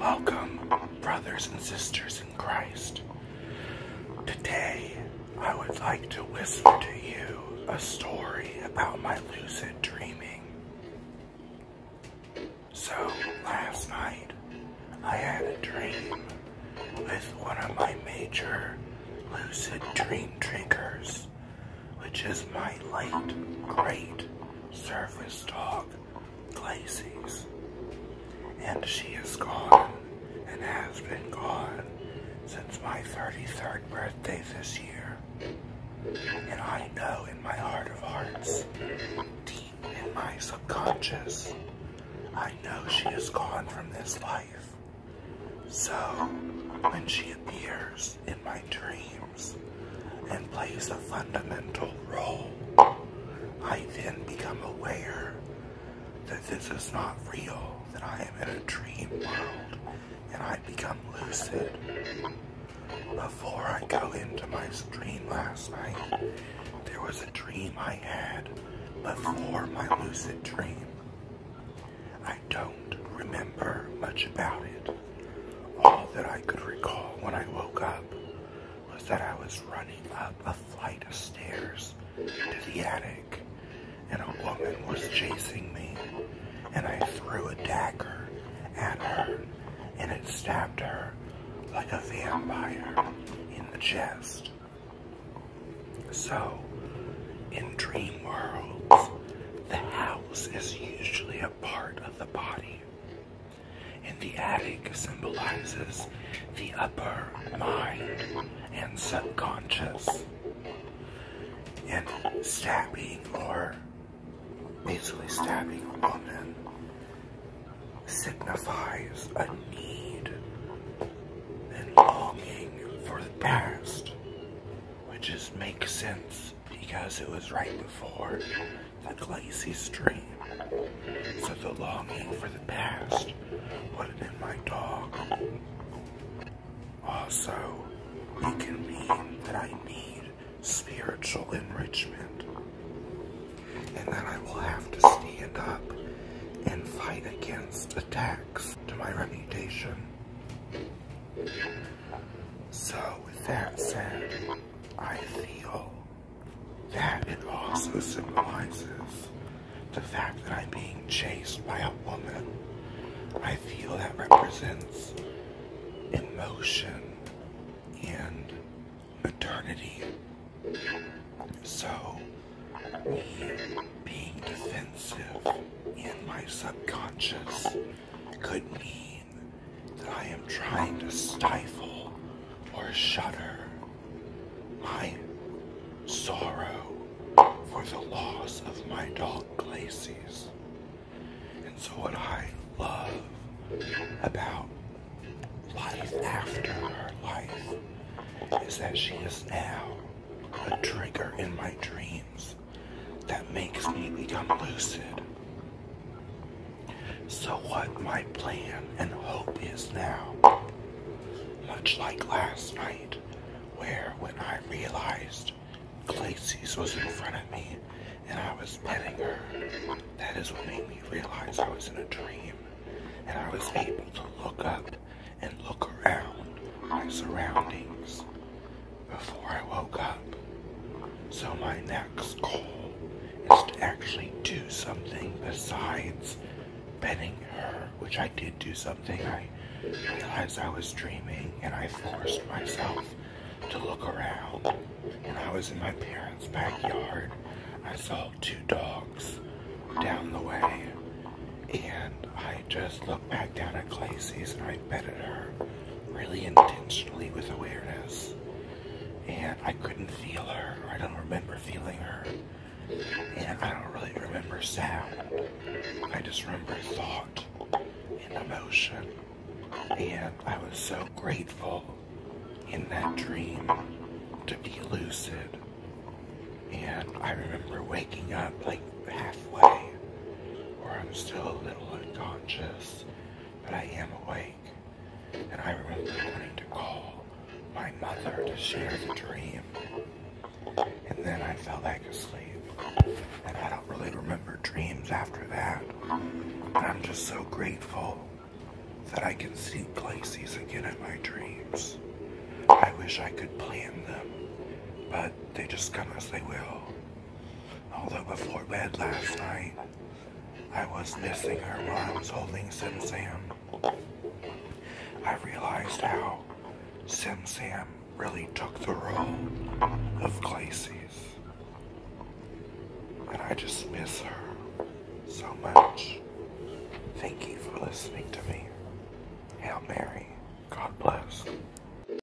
Welcome, brothers and sisters in Christ. Today, I would like to whisper to you a story about my lucid dreaming. So, last night, I had a dream with one of my major lucid dream drinkers which is my late great service dog, Glacies, And she is gone and has been gone since my 33rd birthday this year. And I know in my heart of hearts, deep in my subconscious, I know she is gone from this life. So, when she appears, in my dreams and plays a fundamental role. I then become aware that this is not real, that I am in a dream world, and I become lucid. Before I go into my dream last night, there was a dream I had before my lucid dream. I don't remember much about it. All that I could recall when I woke up was that I was running up a flight of stairs to the attic, and a woman was chasing me, and I threw a dagger at her, and it stabbed her like a vampire in the chest. So, in dream worlds, the house is usually a part of the body and the attic symbolizes the upper mind and subconscious. And stabbing, or easily stabbing a woman, signifies a need and longing for the past, which just makes sense because it was right before the glazy stream. So the longing for the past put it in my dog. Also, it can mean that I need spiritual enrichment and that I will have to stand up and fight against attacks to my reputation. So with that said, I feel that it also symbolizes the fact that I'm being chased by a woman. I feel that represents emotion and eternity. So, me being defensive in my subconscious could mean that I am trying to stifle or shudder. My sorrow for the loss of my dog Glacies. And so what I love about life after her life is that she is now a trigger in my dreams that makes me become lucid. So, what my plan and hope is now, much like last night, where when I realized Glacy's was in front of me and I was petting her, that is what made me realize I was in a dream and I was able to look up and look around my surroundings before I woke up. So my next call is to actually do something besides petting her, which I did do something. I realized I was dreaming and I forced myself to look around. and I was in my parents' backyard, I saw two dogs down the way and I just looked back down at Glazy's and I petted her really intentionally with awareness. And I couldn't feel her. I don't remember feeling her. And I don't really remember sound. I just remember thought and emotion. And I was so grateful in that dream to be lucid. And I remember waking up like halfway or I'm still a little unconscious, but I am awake. And I remember wanting to call my mother to share the dream. And then I fell back asleep. And I don't really remember dreams after that. And I'm just so grateful that I can see places again in my dreams. I wish I could plan them, but they just come as they will. Although before bed last night, I was missing her while I was holding Sim Sam. I realized how Sim Sam really took the role of Glacies, And I just miss her so much. Thank you for listening to me. Hail Mary. God bless.